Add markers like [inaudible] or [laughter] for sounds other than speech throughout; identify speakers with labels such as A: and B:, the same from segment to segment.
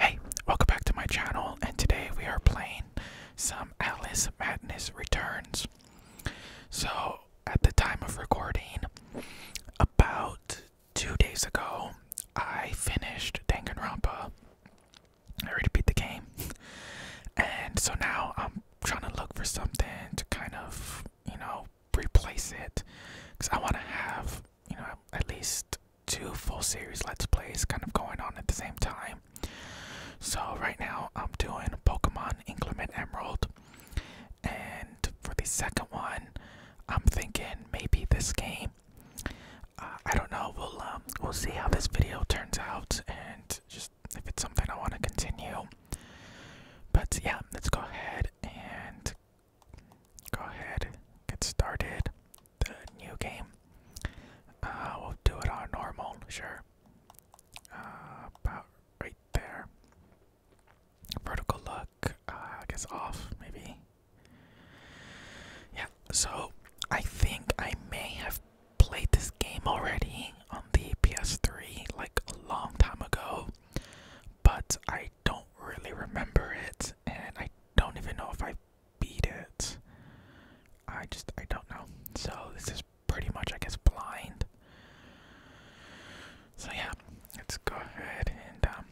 A: Hey, welcome back to my channel, and today we are playing some Alice Madness Returns. So, at the time of recording, about two days ago, I finished Danganronpa. I already beat the game, and so now I'm trying to look for something to kind of, you know, replace it, because I want to have you know at least two full series let's plays kind of going on at the same time so right now i'm doing pokemon inclement emerald and for the second one i'm thinking maybe this game uh, i don't know we'll um, we'll see how this video turns out and just if it's something i want to continue but yeah let's go ahead and go ahead, get started. The new game. Uh, we'll do it on normal, sure. Uh, about right there. Vertical look, uh, I guess off, maybe. Yeah, so I think I may have played this game already on the PS3 like a long time ago, but I don't really remember it, and I don't even know if I beat it. I just I don't know. So this is pretty much I guess blind. So yeah, let's go ahead and um,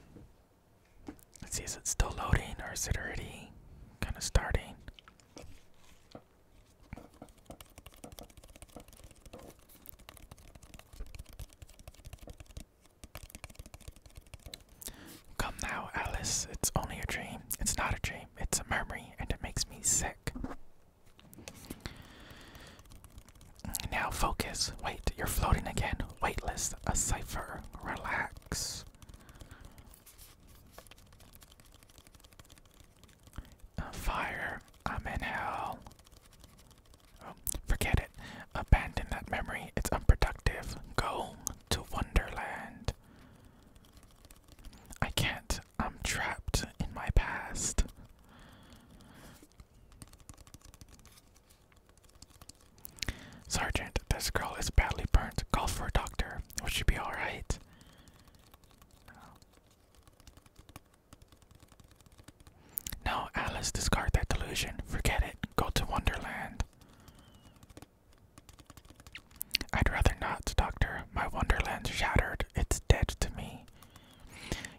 A: let's see is it still loading or is it already kinda starting? Come now, Alice, it's only a dream. It's not a dream, it's a memory, and it makes me sick. Now focus. Wait, you're floating again. Weightless, a cipher. Relax. Fire. I'm in hell. Oh, forget it. Abandon that memory, it's unproductive. Go to Wonderland. I can't, I'm trapped in my past. Sergeant, this girl is badly burned. Call for a doctor. Will she be alright? No, Alice, discard that delusion. Forget it. Go to Wonderland. I'd rather not, Doctor. My Wonderland's shattered. It's dead to me.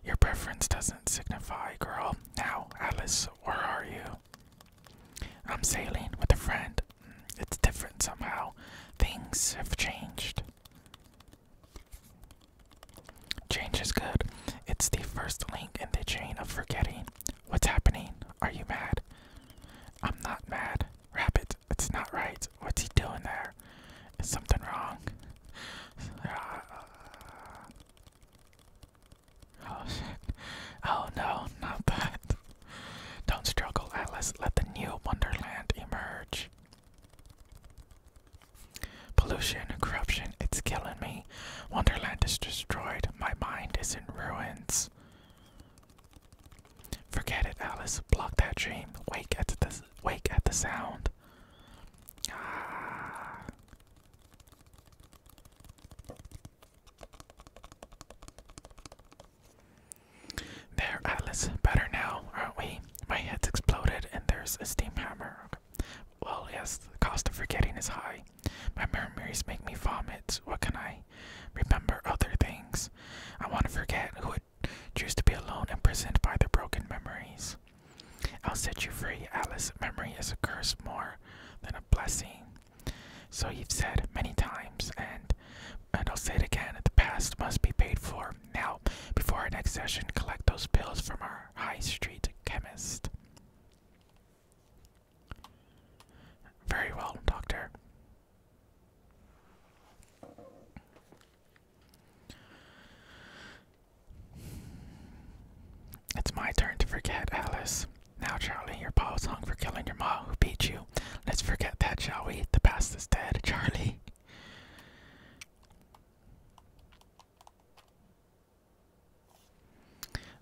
A: Your preference doesn't signify, girl. Now, Alice, where are you? I'm sailing with a friend. Mm, it's different somehow. Things have changed. Change is good. It's the first link in the chain of forgetting. What's happening? Are you mad? I'm not mad. Rabbit, it's not right. What's he doing there? Is something wrong? [laughs] oh shit. Oh no, not that. Don't struggle, Atlas. Let the new Wonderland emerge. Pollution, corruption, it's killing me. Wonderland is destroyed. My mind is in ruins. Forget it, Alice. Block that dream. Wake at the wake at the sound. Ah. There, Alice. Better now, aren't we? My head's exploded, and there's a steam hammer well, yes, the cost of forgetting is high. My memories make me vomit. What can I remember other things? I want to forget who would choose to be alone and present by their broken memories. I'll set you free, Alice. Memory is a curse more than a blessing. So you've said many times, and and I'll say it again, the past must be paid for. Now, before our next session, collect those pills from our high street chemist. Very well, Doctor. It's my turn to forget, Alice. Now, Charlie, your paw was hung for killing your mom who beat you. Let's forget that, shall we? The past is dead, [laughs] Charlie.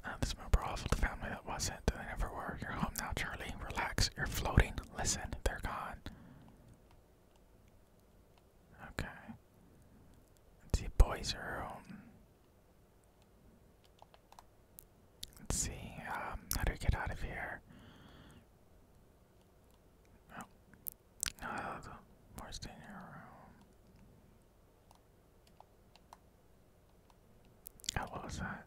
A: Uh, this member also the family that wasn't, they never were. You're home now, Charlie. Relax. You're floating. Listen, they're gone. Okay. Let's see, boys room. Let's see, um, how do we get out of here? Oh. No, more room. Oh, was that?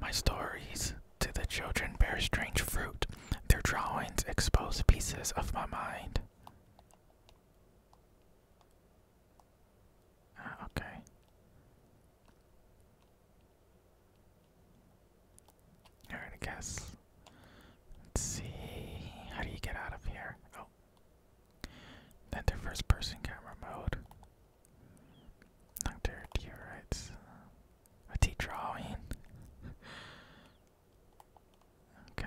A: My stories to the children bear strange fruit. Their drawings expose pieces of my mind. Uh, okay. Alright, I guess. Let's see. How do you get out of here? Oh. Enter first person camera mode. Nocturne meteorites. A tea drawing. [laughs] okay.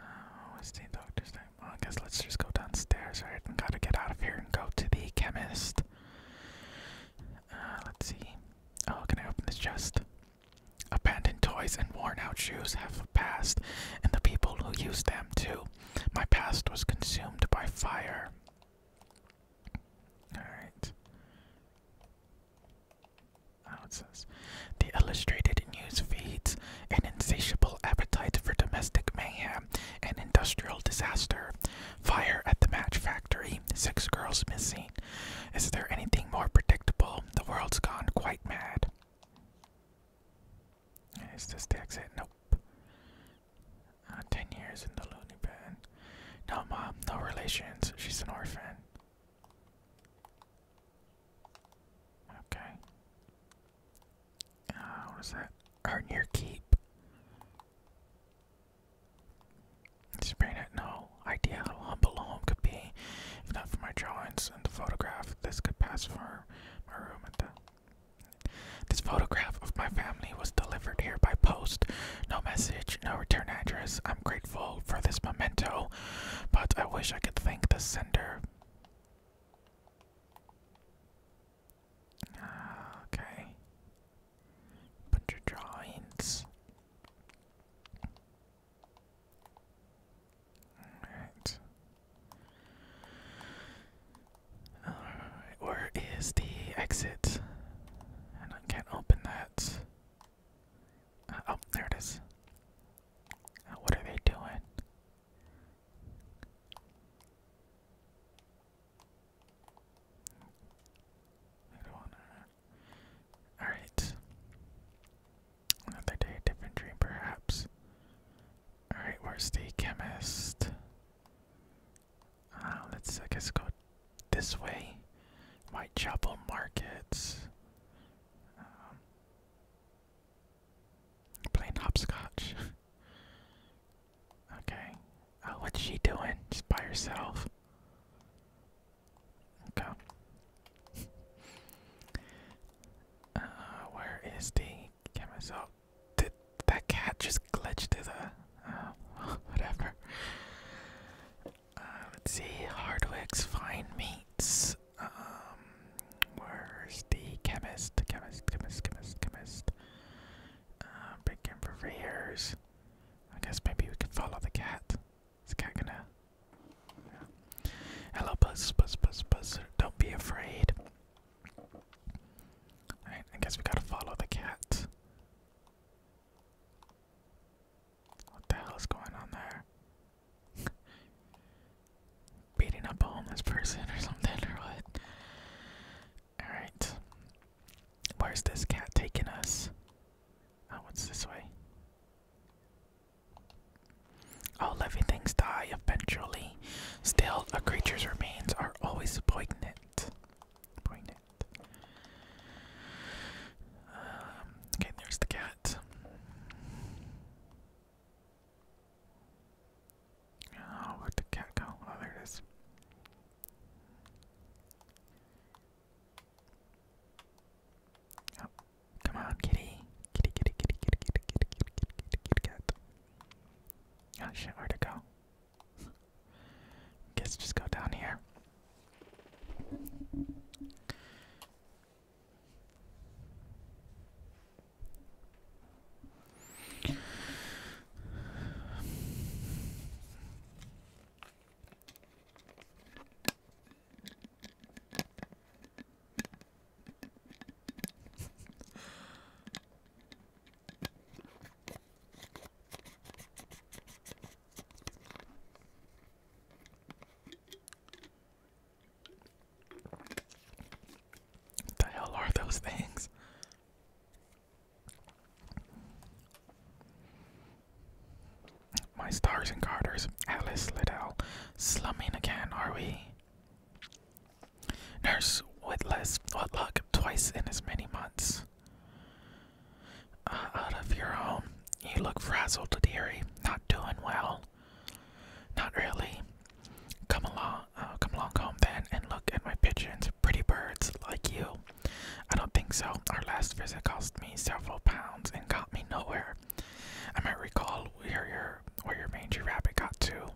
A: Oh, it's the doctor's time. Well, I guess let's just go downstairs, right? And gotta get out of here and go to the chemist. Uh, let's see. Oh, can I open this chest? Abandoned toys and worn out shoes have a past, and the people who used them too. My past was consumed by fire. Alright. Oh, it says The illustrated news feeds an insatiable appetite for domestic mayhem and industrial disaster. Fire at the match factory. Six girls missing. Is there anything more predictable? The world's gone quite mad. Is this the exit? Nope. Uh, ten years in the loony bin. No mom, no relations. She's an orphan. Okay. Uh, what is that? Earn your keep. Just bring it, no idea how humble a home could be. If not for my drawings and the photograph, this could pass for my room This photograph of my family was delivered here by post. No message, no return address. I'm grateful for this memento, but I wish I could thank the sender okay. Bunch of drawings. Alright. Alright, where is the exit? I can't open that. Uh, oh, there it is. Uh, what are they doing? Alright. Another day, different dream, perhaps. Alright, where's the chemist? Uh, let's, I guess, go this way. White Whitechapel Markets. Um, hopscotch. [laughs] Okay. Uh, what's she doing? Just by herself. Okay. [laughs] Uh, where is the camisole? Did that cat just glitch to the? Uh, [laughs] whatever. let's see. Hardwick's fine meats. Um, where's the chemist? Chemist, chemist, chemist, chemist. Uh, for Rares. I guess maybe we could follow the cat. Is the cat gonna? Hello, buzz, buzz, buzz, buzz. Don't be afraid. I guess we gotta follow the cat. What the hell is going on there? [laughs] Beating up homeless person or something, or what? Alright. Where's this cat taking us? Oh, what's this way? All living things die eventually. Still, a creature's remains are always poignant. Poignant. Um, okay, there's the cat. Oh, where'd the cat go? Oh, there it is. Oh, come on, kitty. Kitty, kitty, kitty, kitty, kitty, kitty, kitty, kitty, kitty, kitty, cat. Oh where'd it go? [laughs] Guess just go down here. The hell are those things? My stars and garters, Alice Liddell. Slumming again, are we? Nurse Whitless, what luck, twice in as many months. Uh, out of your home, you look frazzled, dearie. Not doing well. Not really. Come along, uh, come along home then, and look at my pigeons, pretty birds like you. I don't think so. Our last visit cost me several pounds and got me nowhere. I might recall where your where your mangy rabbit got to.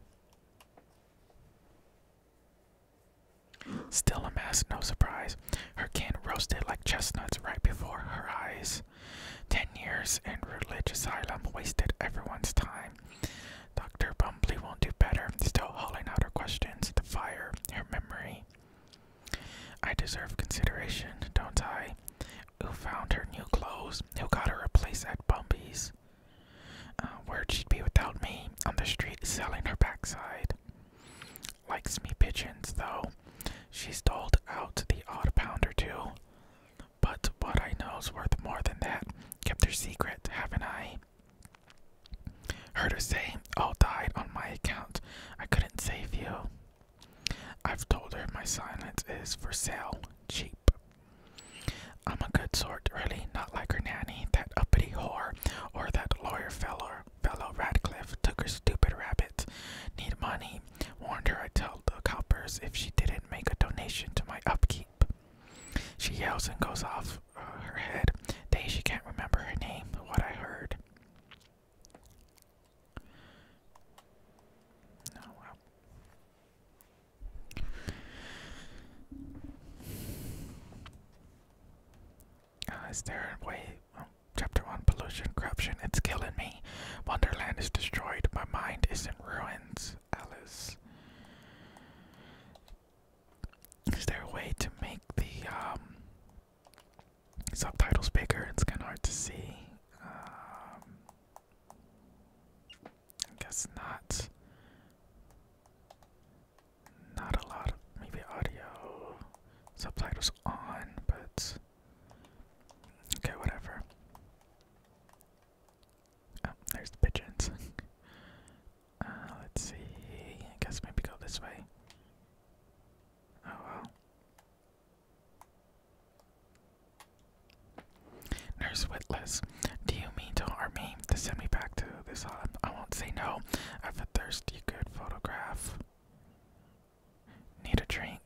A: Still a mess, no surprise. Her kin roasted like chestnuts right before her eyes. Ten years in religious asylum wasted everyone's time. Dr. Bumbly won't do better, still hauling out her questions, the fire, her memory. I deserve consideration, don't I? Who found her new clothes? Who got her a place at Bumby's? Uh, where'd she be without me? On the street, selling her backside. Likes me pigeons, though. She's doled out the odd pound or two. But what I know's worth more than that. Kept her secret, haven't I? Heard her say, All died on my account. I couldn't save you. I've told her my silence is for sale, cheap. I'm a good sort, really, not like her nanny, that uppity whore, or that lawyer fellow, fellow Radcliffe took her stupid rabbit. Need money. Warned her I'd tell the coppers if she didn't make a donation to my upkeep. She yells and goes off uh, her head. Dang, she can't remember her name, what I heard. Oh, well. Uh, is there oh, chapter 1 Pollution, Corruption, It's Killing Me. Wonderland is destroyed. My mind is in ruins. Alice. Is there a way to make the um, subtitles bigger? It's kind of hard to see. Um, I guess not. Not a lot of maybe audio subtitles on, but okay, whatever. Oh, there's the pigeons. [laughs] Uh, let's see. I guess maybe go this way. Oh well. Nurse Witless, do you mean to harm me? To send me back to this I won't say no. I've a thirsty good photograph. Need a drink.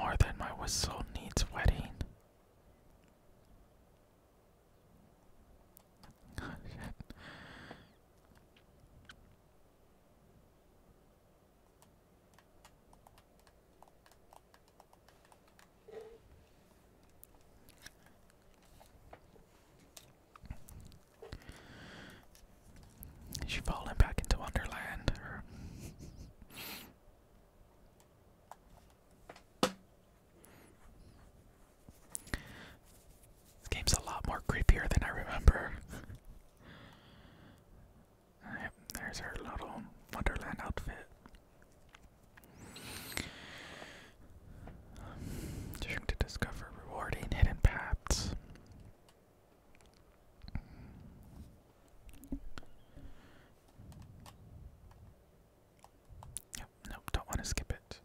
A: More than my whistle needs wetting. Oh shit. she falling back into Wonderland? This game's a lot more creepier than I remember. there's her little Wonderland outfit. Trying to discover rewarding hidden paths nope, don't want to skip it.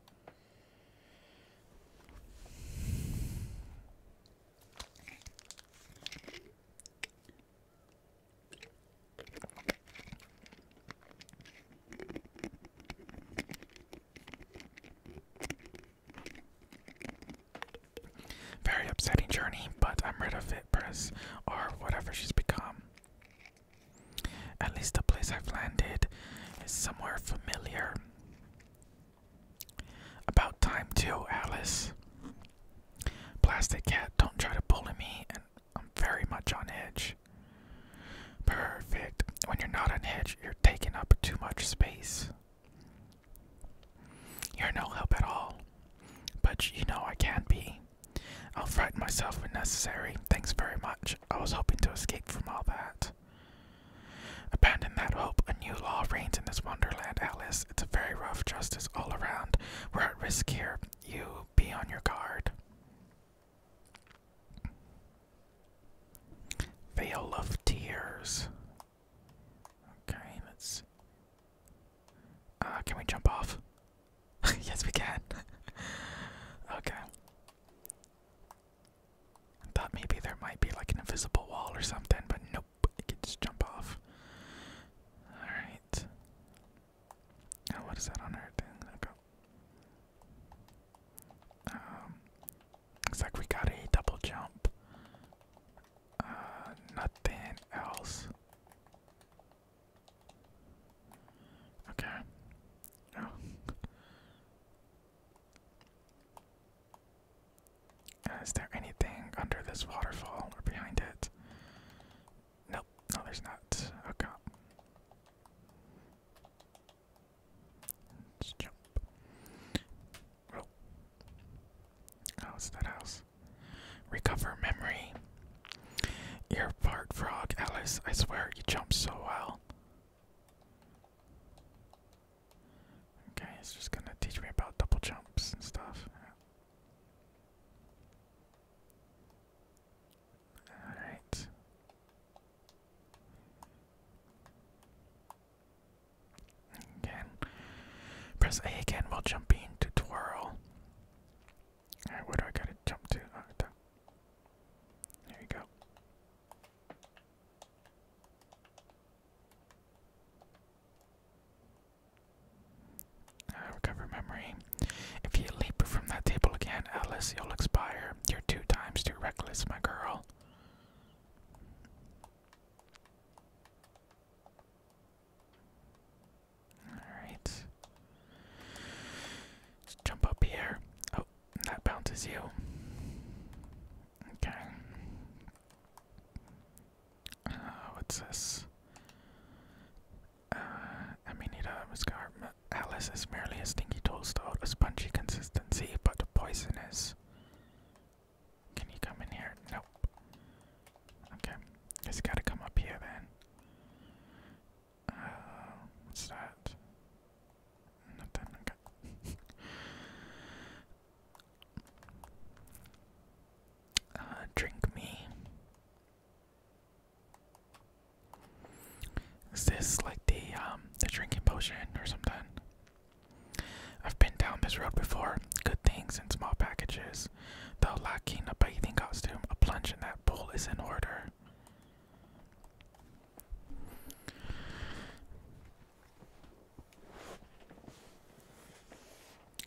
A: Very upsetting journey, but I'm rid of it or whatever she's become. At least the place I've landed is somewhere familiar. About time, too, Alice. Plastic Cat, don't try to bully me, and I'm very much on edge. Perfect. When you're not on edge, you're taking up too much space. You're no help at all. But you know I can be. I'll frighten myself when necessary. Thanks very much. I was hoping to escape from all that. Abandon that hope. A new law reigns in this wonderland, Alice. It's a very rough justice all around. We're at risk here. You be on your guard. Veil of Tears. Okay, let's uh, can we jump off? [laughs] yes, we can. [laughs] okay. thought maybe there might be like an invisible wall or something, but nope, you can just jump off. Alright. Now, what is that on Earth? Okay. Um, looks like we got a double jump. Uh, nothing else. Okay. Oh. Uh, is there anything under this waterfall or behind it? Nope, no, there's not. Okay. Let's jump. Oh. Oh, that house. Recover memory. You're part frog, Alice. I swear you jump so well. Okay, it's just gonna teach me about double jumps and stuff. Alright. Again. Press A again while jumping to twirl. where do I gotta jump to? Oh, there you go. Uh, recover memory. If you leap from that table again, Alice, you'll expire. You're two times too reckless, my girl. Alright. Let's jump up here. Oh, that bounces you. Okay. Uh, what's this? Uh, Aminita muscarma Alice is merely a stinky tool stowed spongy consistency, but poisonous. Can you come in here? Nope. Okay. It's gotta come up here then. Uh, what's that? Nothing. Okay. [laughs] Uh, drink me. Is this like the um the drinking potion or something? I've been down this road before. Good things in small packages. Though lacking a bathing costume, a plunge in that pool is in order.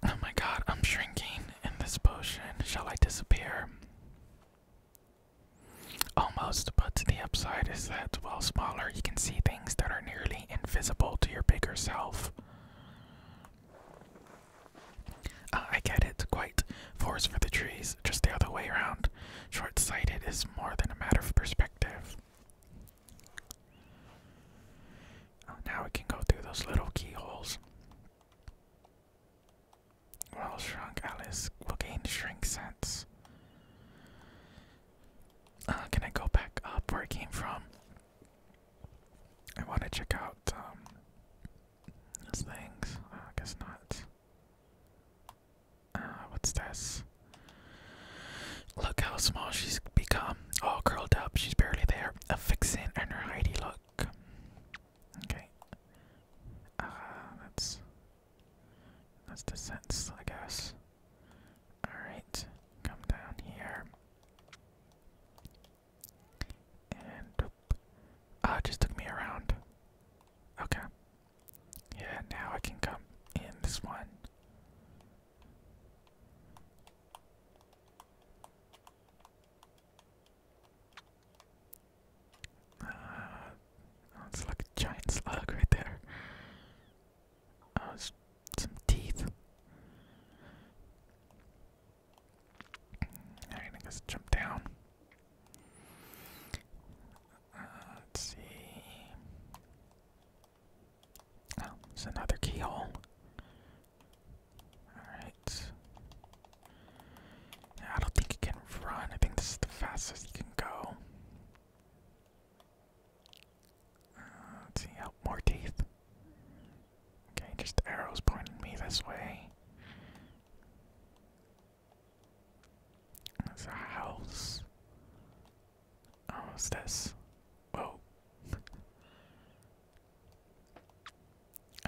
A: Oh my god, I'm shrinking in this potion. Shall I disappear? Almost, but the upside is that while smaller, you can see things that are nearly invisible to your bigger self. Oh, I get it, quite. Forest for the trees, just the other way around. Short sighted is more than a matter of perspective. Oh, now we can go through those little keyholes. Well, shrunk Alice will gain shrink sense. Uh, can I go back up where I came from? I want to check out um, those things. Uh, I guess not. Uh, what's this? Look how small she's become. All curled up. She's barely there. A fixin' and her Heidi look. Okay. Uh, that's that's the sense, I guess. All right, come down here. And ah, just took me around. Okay. Yeah, now I can come in this one. Uh, oh, it's like a giant slug right there. Oh, uh, it's some teeth. Alright, I guess jump down. Uh, let's see. Oh, there's another keyhole. Alright. I don't think you can run. I think this is the fastest you can go. Uh, see, oh, more teeth. Okay, just arrows pointing me this way. There's a house. Oh, what's this? Whoa.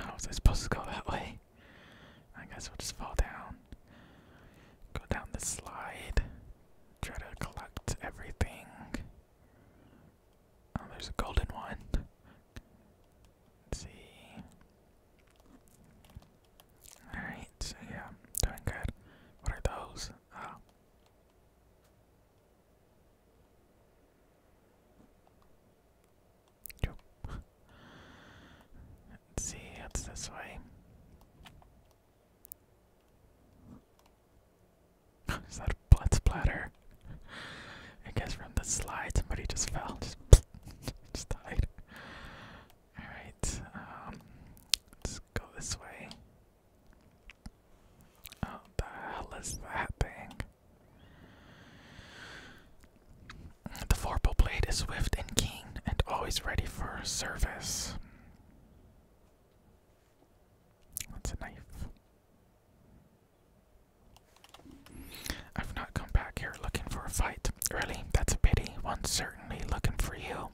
A: oh, was I supposed to go that way? I guess we'll just fall down. Go down the slide. Try to collect everything. Oh, there's a golden one. Let's see. Alright, so yeah, doing good. What are those? Oh. Yep. see, it's this way. [laughs] Is that a blood splatter? I guess from the slide somebody just fell. Just, [laughs] just died. Alright, um, let's go this way. Oh, the hell is happening? thing? The vorpal blade is swift and keen and always ready for service. That's a knife. I've not come back here looking for a fight. Really? That's a pity. One's certainly looking for you.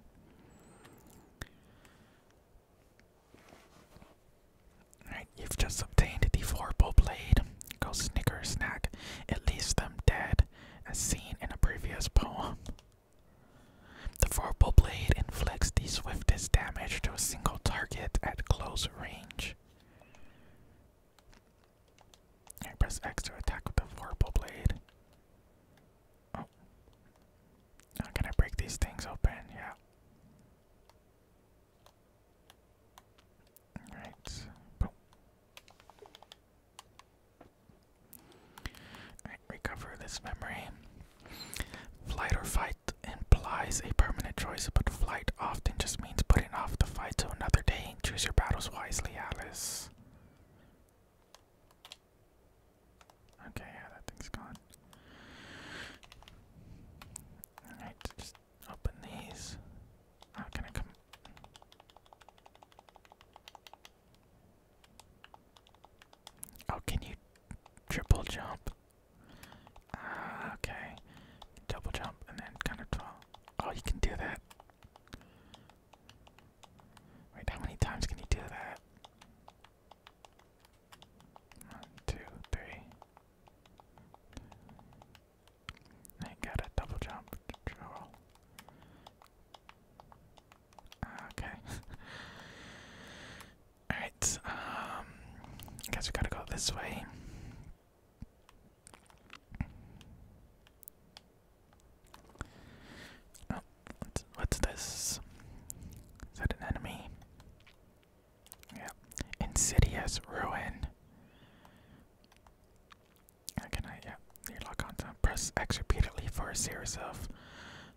A: you've just obtained a deforable blade. Go snicker snack. It leaves them dead, as seen in a previous poem. The verbal blade inflicts the swiftest damage to a single target at close range. I press X to attack with the verbal blade. Oh. Now can I break these things open? Yeah. Alright. Boom. recover this memory. Flight or fight implies a permanent choice, but flight often just means putting off the fight to another day. Choose your battles wisely, Alice. Okay, yeah, that thing's gone. Alright, just open these. How can I come? Oh, can you triple jump? Ah, okay. Double jump and then kind of twirl. Oh, you can do that. Wait, how many times can you do that? One, two, three. I got a double jump control. Ah, okay. [laughs] Alright, um, I guess we gotta go this way. Oh, what's, this? Is that an enemy? Yeah. Insidious Ruin. How can I, yeah, you lock on uh, Press X repeatedly for a series of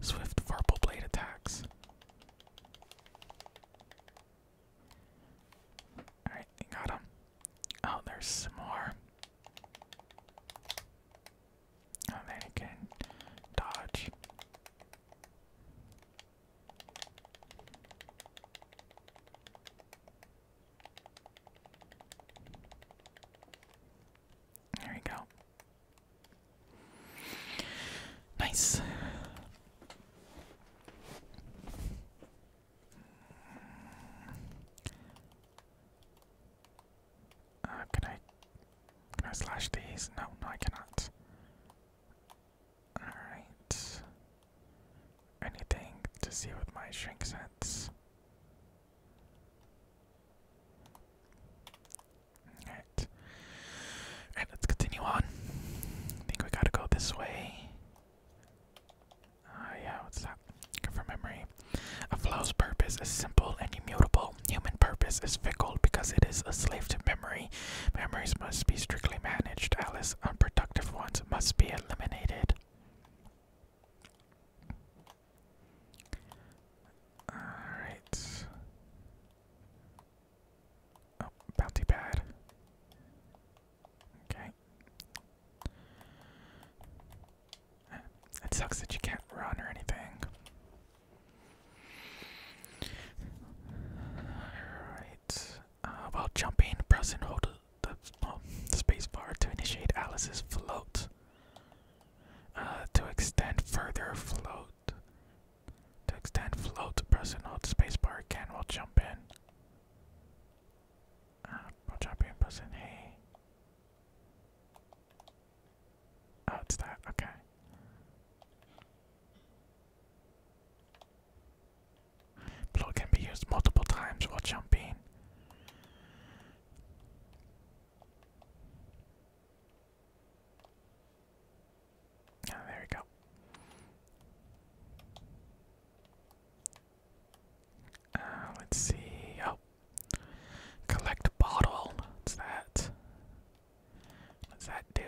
A: swift verbal blade attacks. Alright, got him. Oh, there's some more. Oh, then he can dodge. There you go. Nice. Uh, can I can I slash these? No, no, I cannot. Alright. Anything to see with my shrink sense? Alright. Alright, let's continue on. I think we gotta go this way. Ah, yeah, what's that? from memory. A flow's purpose is simple and immutable. Human purpose is fickle because it is a slave to memory. Memories must be strictly managed, Alice. Unproductive ones must be eliminated. Alright. Oh, bounty pad. Okay. It sucks that you can't run or anything. Alright. Uh, while jumping, press and hold the, the, oh, the um, space bar to initiate Alice's float. Uh, to extend further float. To extend float, press and hold spacebar again We'll jump in. Uh, while jumping, press in hey. Oh, it's that, okay. Blow can be used multiple times while jumping. Ah, there we go. Uh, let's see. Oh, collect bottle. What's that? What's that do?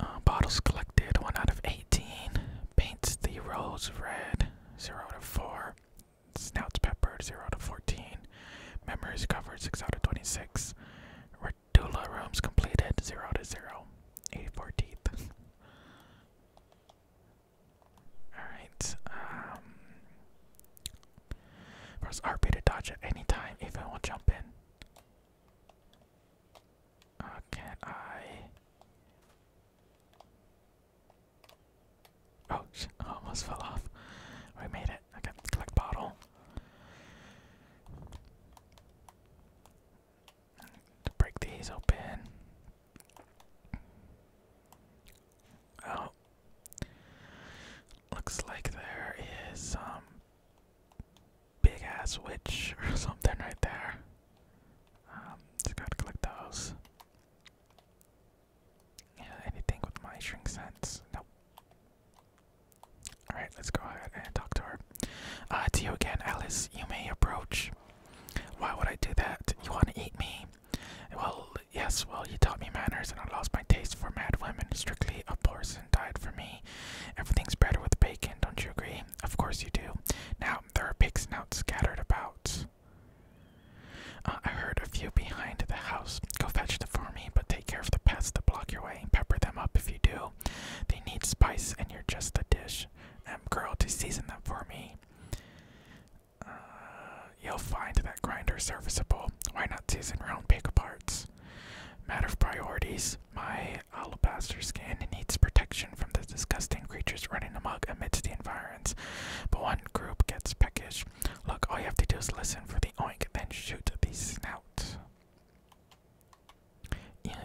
A: Uh, bottles collected. One out of eighteen. Paints the rose red. Zero to four. Snouts peppered, 0 out of 14. Memories covered, 6 out of 26. Radula rooms completed, 0 to of 0. 84 teeth. Alright, um. Press RP to dodge at any time, even while jumping. Uh, can I. Oh, shit, oh, almost fell off. We oh, made it. Okay, collect bottle. break these open. Oh. Looks like there is some big ass witch or [laughs] something right there. Um, just gotta collect those anything with my shrink sense. Nope. Alright, let's go ahead and talk to her. Uh, to you again, Alice. You may approach. Why would I do that? You want to eat me? Well, yes, well, you taught me manners and I lost my taste for mad women. Strictly a porcelain diet for me. Everything's better with bacon, don't you agree? Of course you do. Now, there are pig snouts scattered about. Uh, I heard a few behind the house. Go fetch them for me, but take care of the pests that block your way. and Pepper them up if you do. They need spice, and you're just a dish. Um, girl, to season them for me. Uh, you'll find that grinder serviceable. Why not season your own pig parts? Matter of priorities. My alabaster skin needs protection from the disgusting creatures running amok amidst the environment. But one group gets peckish. Look, all you have to do is listen for the oink, then shoot the snout.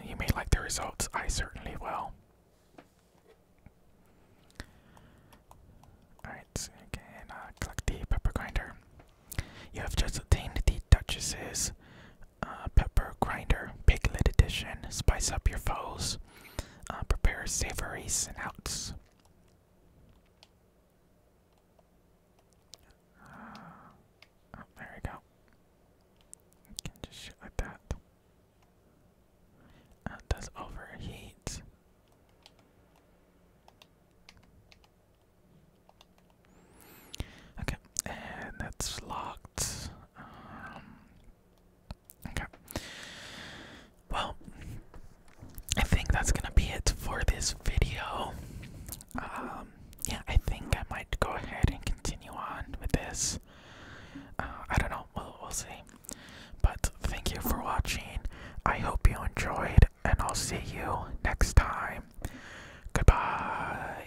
A: You, may like the results, I certainly will. Alright, so you uh, collect the pepper grinder. You have just obtained the Duchess's uh, Pepper Grinder Piglet Edition. Spice up your foes. Uh, prepare savory snouts. Uh, oh, there we go. can just shoot like that. Uh, does overheat. Okay, and that's locked. Um, Okay. Well, I think that's gonna be it for this video. Um, yeah, I think I might go ahead and continue on with this. Uh, I don't know. We'll we'll see. But thank you for watching. I hope you enjoyed, and I'll see you next time. Goodbye.